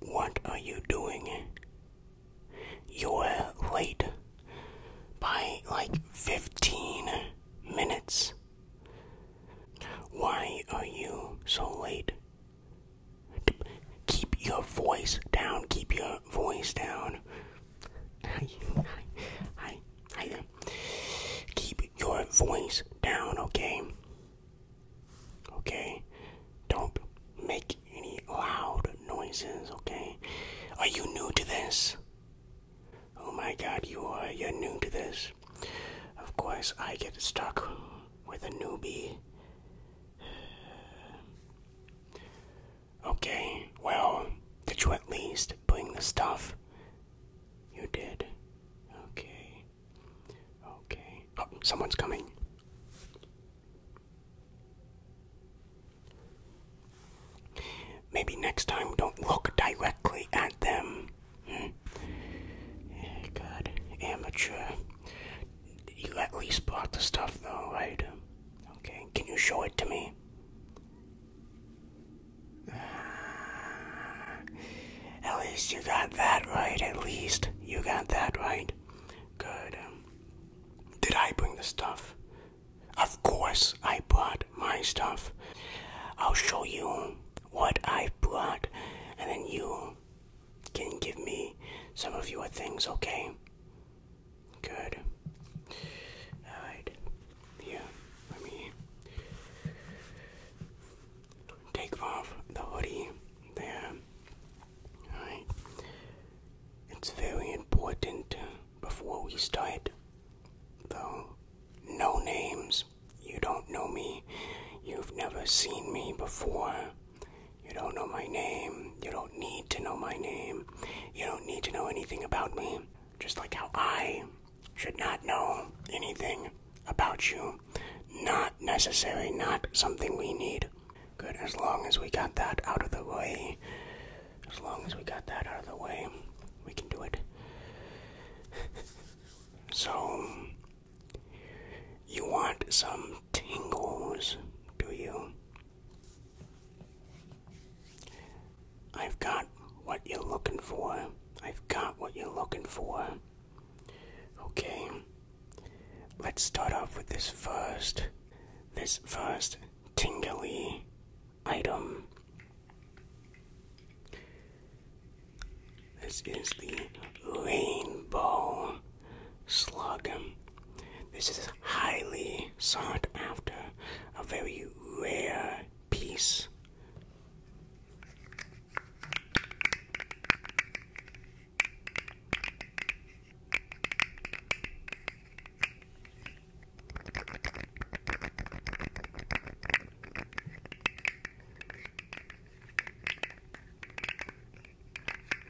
What are you doing? You're late by like 15 minutes. Why are you so late? Keep your voice down, keep your voice down. Hi, hi, hi, hi Keep your voice down, okay? Okay? Don't make any loud noises, okay? Are you new to this? Oh my god, you are. You're new to this. Of course, I get stuck with a newbie. Okay, well, did you at least bring the stuff? You did. Okay. Okay. Oh, someone's coming. Maybe next time don't look directly at them. Hmm? Eh, amateur. You at least brought the stuff though, right? Okay, can you show it to me? at least you got that right. At least you got that right. Good. Um, did I bring the stuff? Of course, I brought my stuff. I'll show you what I brought, and then you can give me some of your things, okay? Good. Alright. Here, let me take off the hoodie there. Alright. It's very important before we start, though. No names. You don't know me. You've never seen me before. You don't know my name. You don't need to know my name. You don't need to know anything about me. Just like how I should not know anything about you. Not necessary, not something we need. Good, as long as we got that out of the way. As long as we got that out of the way, we can do it. so, you want some tingles, do you? I've got what you're looking for. I've got what you're looking for. Okay, let's start off with this first. This first tingly item. This is the rainbow slug. Um, this is highly sought after, a very rare piece.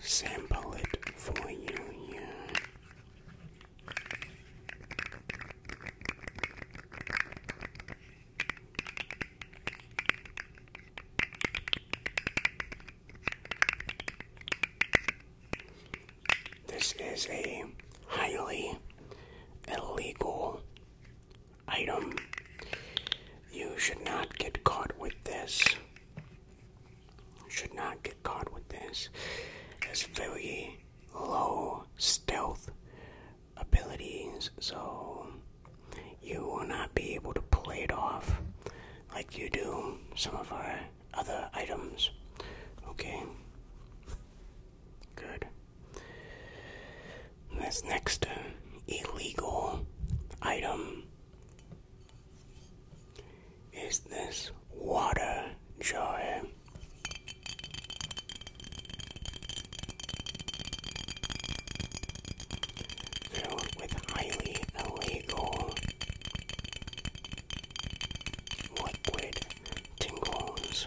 sample it for you This is a highly illegal item. You should not get caught with this should not get caught with this. It's very low stealth abilities, so you will not be able to play it off like you do some of our other items. Okay. Good. This next uh, illegal item is this water joy? Filled with highly illegal liquid tingles.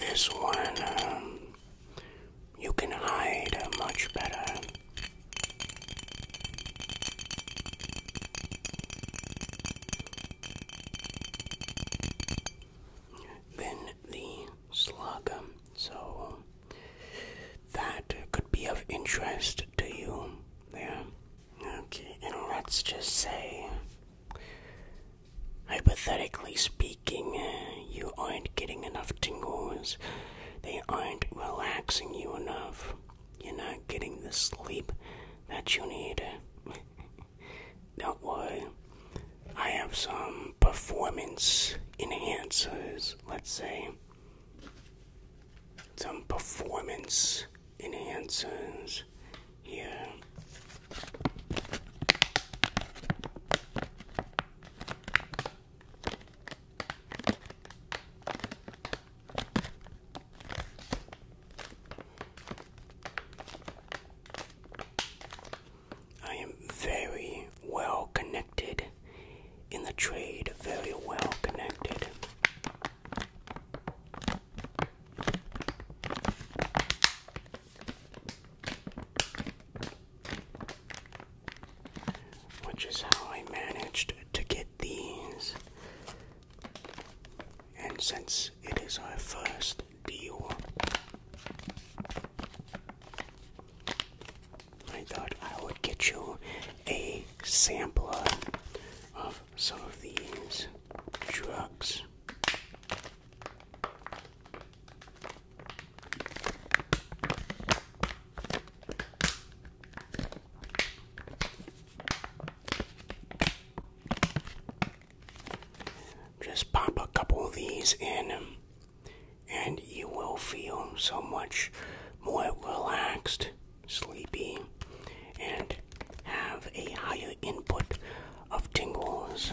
This one um, you can hide much better. Than the slug, so that could be of interest to you there. Okay, and let's just say, hypothetically speaking aching, you aren't getting enough tingles, they aren't relaxing you enough, you're not getting the sleep that you need. Don't worry, I have some performance enhancers, let's say. Some performance enhancers here. I am very well connected in the trade, very well connected. Which is how I managed to get these. And since it is our first deal, I thought I would get you a sampler of some of these drugs. Just pop a couple of these in, and you will feel so much more relaxed, sleepy, and have a higher input of tingles.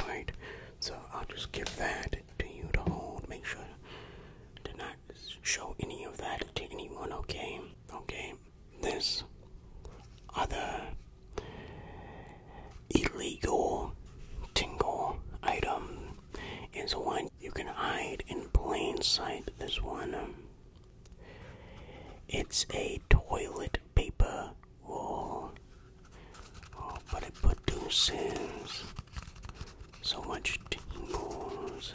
Alright, so I'll just give that to you to hold. Make sure to not show any of that to anyone, okay? Okay, this other illegal tingle item is one you can hide in plain sight. This one. Um, it's a toilet paper roll. Oh, but it produces so much tingles.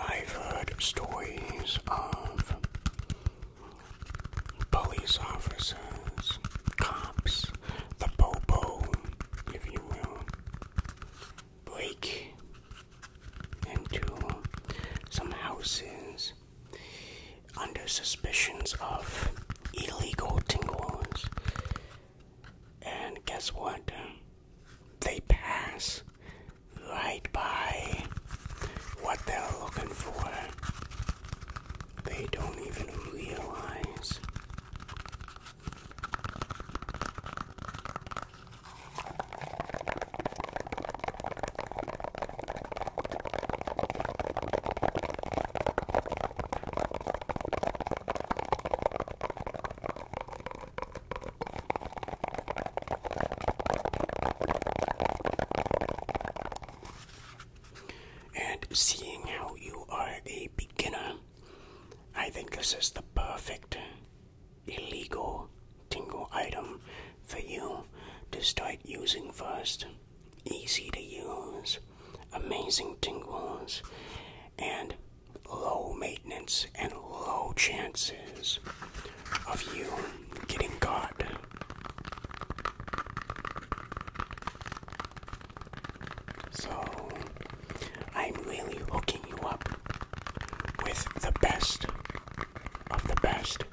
I've heard stories of police officers, cops, the popo, if you will, break into some houses under suspicions of illegal tingles. And guess what? they pass right by what they're looking for. They don't even realize. And seeing how you are a beginner, I think this is the perfect illegal tingle item for you to start using first. Easy to use, amazing tingles, and low maintenance and low chances of you getting caught. So, I'm really hooking you up with the best of the best.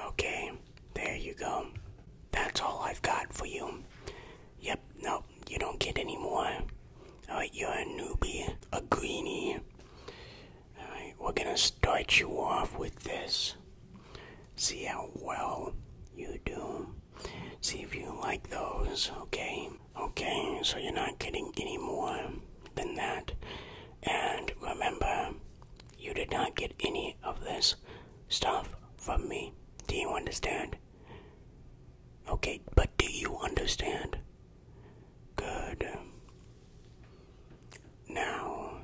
Okay, there you go. That's all I've got for you. Yep, nope, you don't get any more. Alright, you're a newbie, a greenie. Alright, we're gonna start you off with this. See how well you do. See if you like those, okay? Okay, so you're not getting any more than that. And remember, you did not get any of this stuff from me. Do you understand? Okay, but do you understand? Good. Now,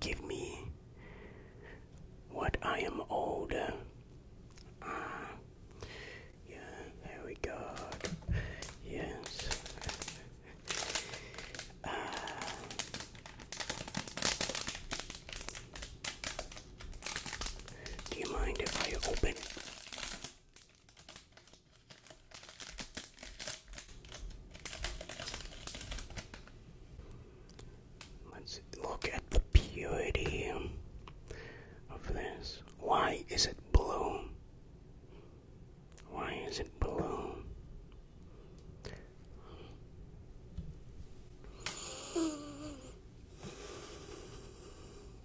give me what I am owed. Ah, yeah, there we go. Yes. Uh, do you mind if I open? Let's look at the purity of this. Why is it blue? Why is it blue?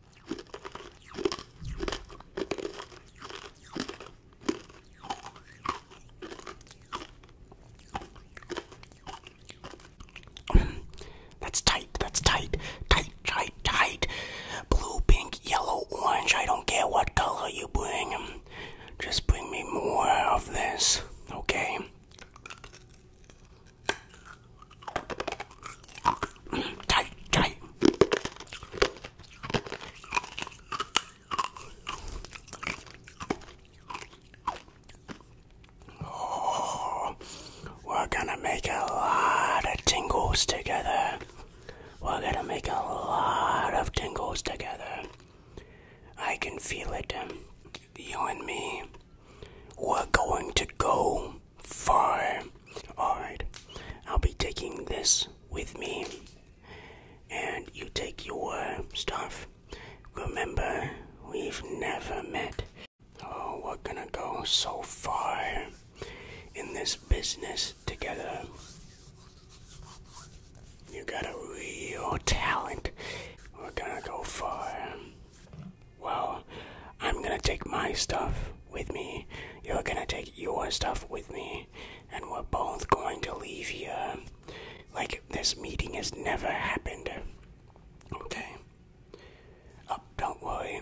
That's tight, that's tight, tight, tight, tight. Blue, pink, yellow, orange, I don't care what color you bring. Just bring me more of this, okay? Oh, we're gonna make a lot of tingles together. We're gonna make a lot of tingles together. I can feel it. You and me. We're going to go far. Alright, I'll be taking this with me. And you take your stuff. Remember, we've never met. Oh, we're gonna go so far in this business together. You got a real talent. We're gonna go far. Well, I'm gonna take my stuff with me. You're gonna take your stuff with me. And we're both going to leave here. Like this meeting has never happened. Okay. Oh, don't worry.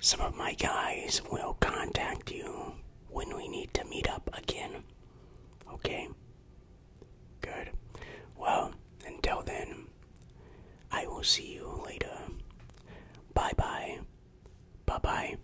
Some of my guys will contact you when we need to meet up again. Okay? Good. Well, until then, I will see you later. Bye bye. Bye bye.